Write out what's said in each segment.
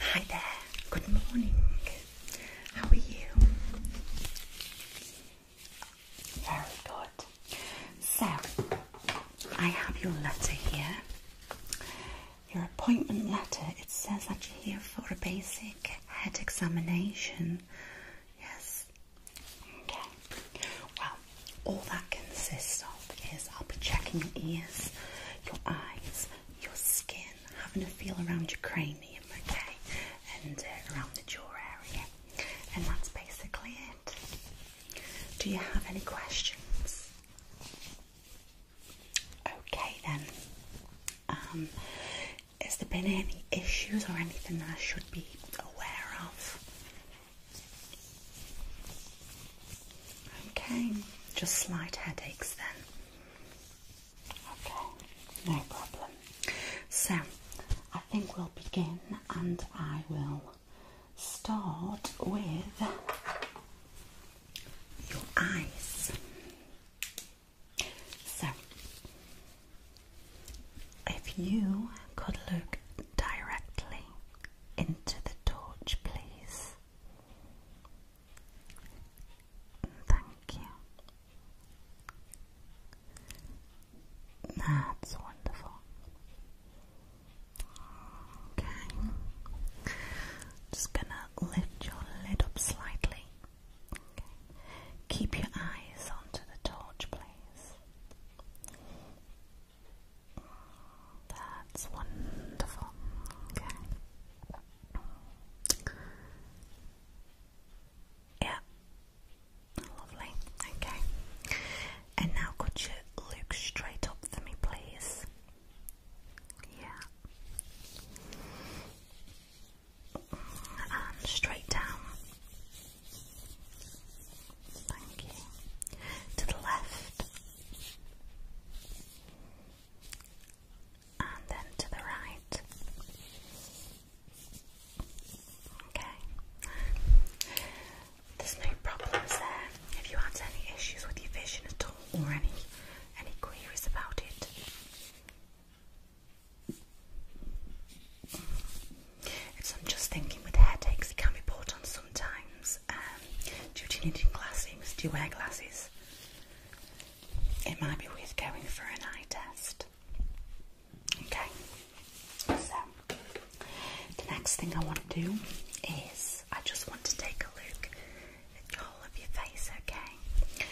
Hi there, good morning. How are you? Very good. So, I have your letter here. Your appointment letter, it says that you're here for a basic head examination. Yes? Okay. Well, all that consists of is I'll be checking your ears, your eyes, your skin, having a feel around your cranium, okay, and uh, around the jaw area. And that's basically it. Do you have any questions? Okay then. Um, has there been any issues or anything that I should be aware of? Okay, just slight headaches then. Okay, no problem. So, I think we'll begin and I will start with your eyes. So, if you could look directly into the torch, please. Thank you. That's wonderful. Okay. Just gonna lift your lid up slightly. Keep your eyes onto the torch, please. That's wonderful. Okay. Yeah. Lovely. Okay. And now could you look straight up for me, please? Yeah. And straight down. Thank you. To the left and then to the right. Okay. There's no problems there. If you had any issues with your vision at all or any any queries about it. It's I'm just thinking with headaches it can be brought sometimes um, due need needing glasses. Do you wear glasses? It might be worth going for an eye test. Okay, so the next thing I want to do is I just want to take a look at the whole of your face, okay?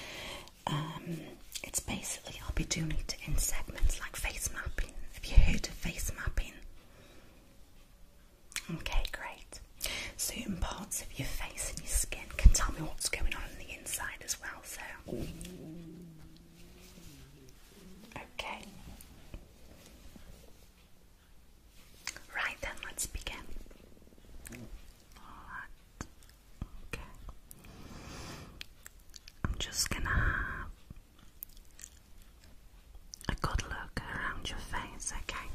Um, it's basically, I'll be doing it in segments like face mapping. Have you heard of face mapping? Okay, great. Certain parts of your face and your skin can tell me what's going on on the inside as well, so. Okay. Right then, let's begin. Okay. I'm just gonna a good look around your face, okay?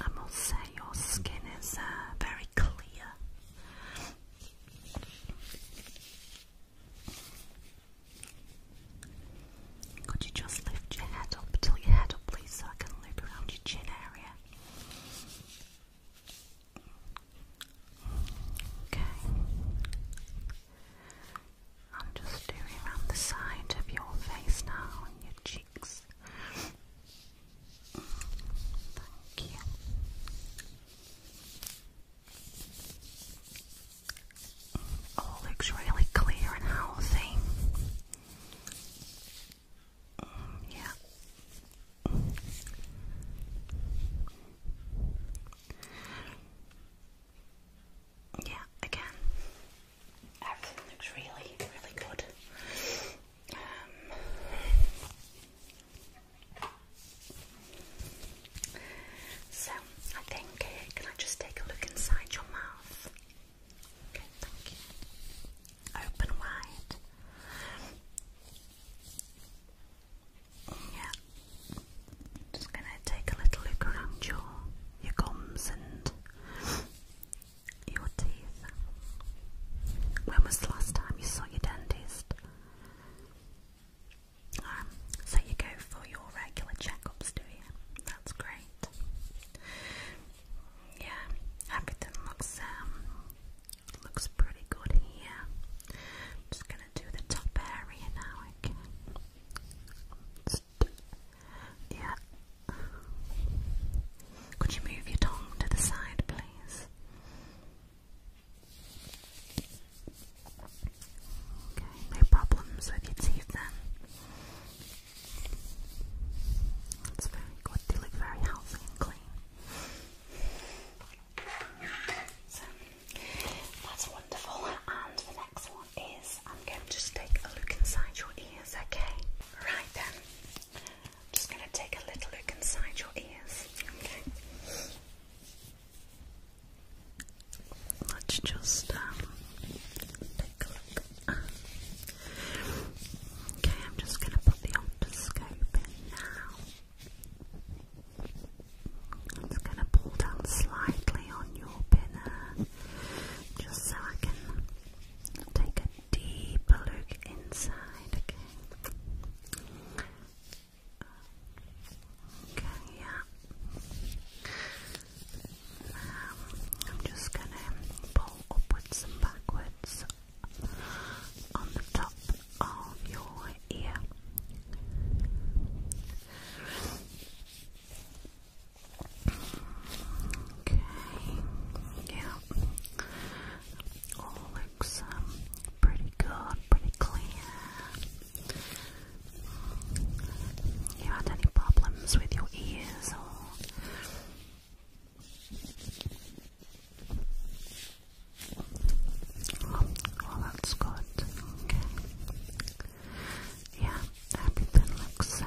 I must say your skin is uh, very clear. Could you just lift your head up, till your head up, please, so I can loop around your chin area? Okay. I'm just doing around the side of your face now and your cheeks. Thank you. All looks really clear and healthy. Yeah. Yeah, again. Everything looks really, really good. Um, so, I think, can I just take a look inside your mouth? Okay, thank you. Open wide. Yeah. Just gonna take a little look around your your gums and your teeth. When was the last time you saw your dentist? Um, so you go for your regular checkups, do you? That's great yeah, everything looks um looks pretty good here. just gonna do the top area now again. Yeah. Could you move your tongue to the side, please? Okay, no problems with your teeth then. It's very good. They look very healthy and clean. So that's wonderful. And the next one is I'm going to just take a look inside your ears, okay? Right then. I'm just going to take a little look inside your ears, okay? Let's just um, take a Okay, I'm just going to put the optoscope in now. I'm just going to pull down slightly on your pinner, just so I can take a deeper look inside, okay? Okay, yeah. I'm just going to pull upwards and backwards on the top of your ear. Okay, yeah, all looks um, pretty good, pretty clear. You had any problems with your ears or well, that's good. Okay. Yeah, everything looks uh,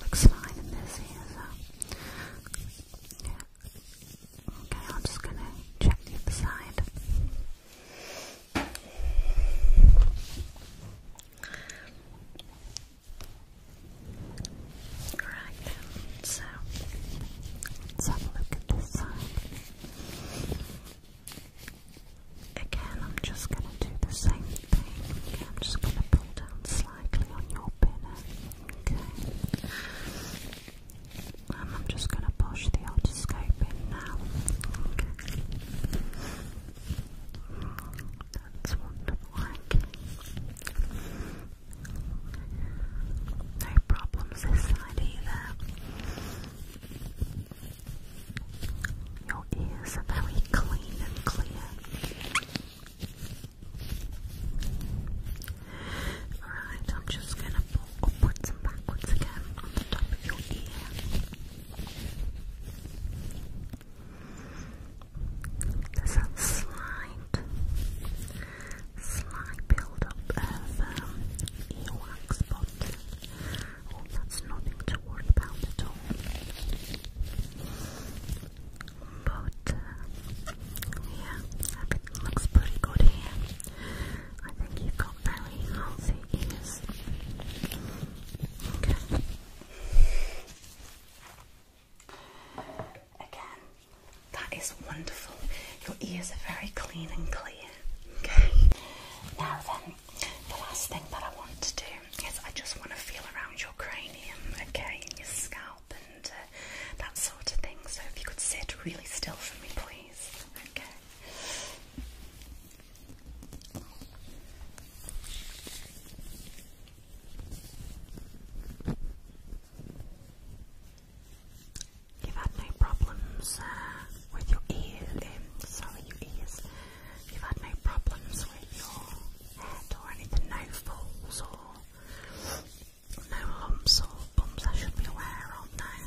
looks fine in this here. Yeah. Okay, I'm just gonna check the other side. Right so let's have a look at this side. Again, I'm just going to do the same thing. I'm just going to pull down slightly on your pinner. Okay. And I'm just going to push the otoscope in now. That's wonderful. No problems this side either. Your ears are very clean and clear. Alright, I'm just going to pull upwards and backwards again on the top of your ear. There's a slight, slight build-up of um, earwax, but oh, that's nothing to worry about at all. But uh, yeah, looks pretty good here. I think you've got very healthy ears. Again, that is wonderful. Your ears are very clean and clear. Okay. Now then, the last thing that I want to do is I just want to feel around your cranium, okay, in your scalp and uh, that sort of thing. So if you could sit really still for me, please. Okay. You've had no problems uh, with your ears, um, sorry, your ears. You've had no problems with your head or anything, no falls or no lumps or bumps I should be aware of now.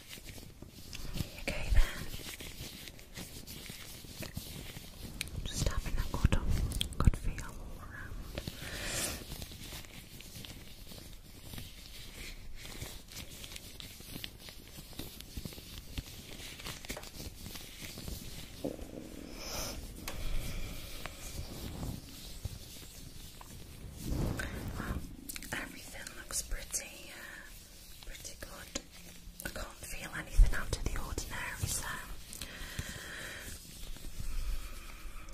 Okay then. Just having a good, good feel around. Um, everything looks pretty, uh, pretty good. I can't feel anything out of the ordinary, so.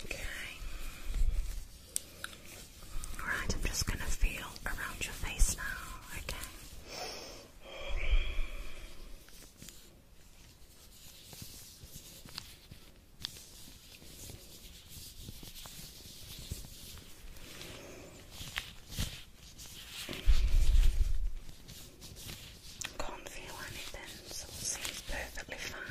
Okay. Alright, I'm just going to feel around your face now, okay? Can't feel anything, seems perfectly fine.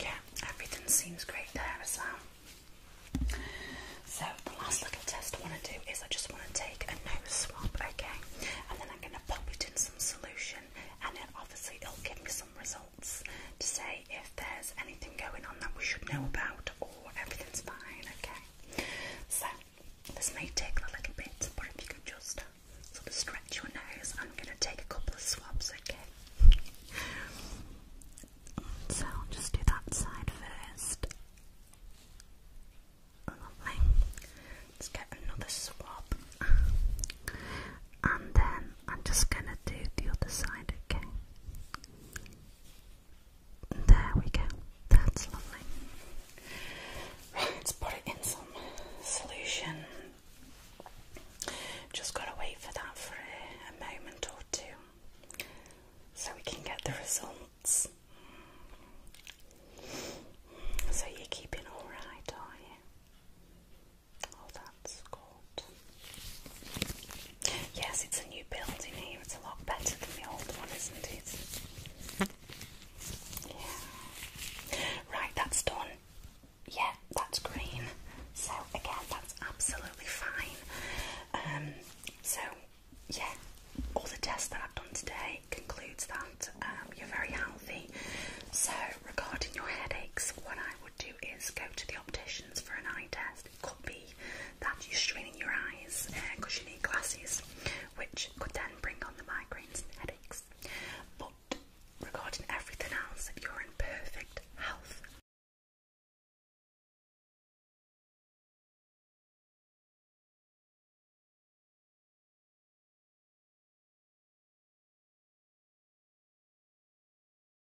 Yeah, everything seems great there as well. So, the last little test I want to do is I just want to take a nose swab, okay? And then I'm going to pop it in some solution, and then obviously it'll give me some results to say if there's anything going on that we should know about or everything's fine, okay? So, this may take a little bit, but if you could just sort of stretch your nose, I'm going to take a couple of swabs, okay? So, just do that side first. Lovely. Let's get another swab. And then I'm just going to do the other side, okay? There we go. That's lovely. Right, let's put it in some solution. Just gotta wait for that for a, moment or two so we can get the results. So you're keeping alright, are you? Oh, that's cool. Yes, it's a new building in here. It's a lot better than the old one, isn't it? Yeah. Right, that's done. Yeah, that's green. So again, that's absolutely fine. Um, so yeah, all the tests that I've done today concludes that um, you're very healthy. So regarding your headaches, what I would do is go to the opticians for an eye test could be that you're straining your eyes because uh, you need glasses, which could then bring on the migraines and headaches. But regarding everything else, if you're in perfect health,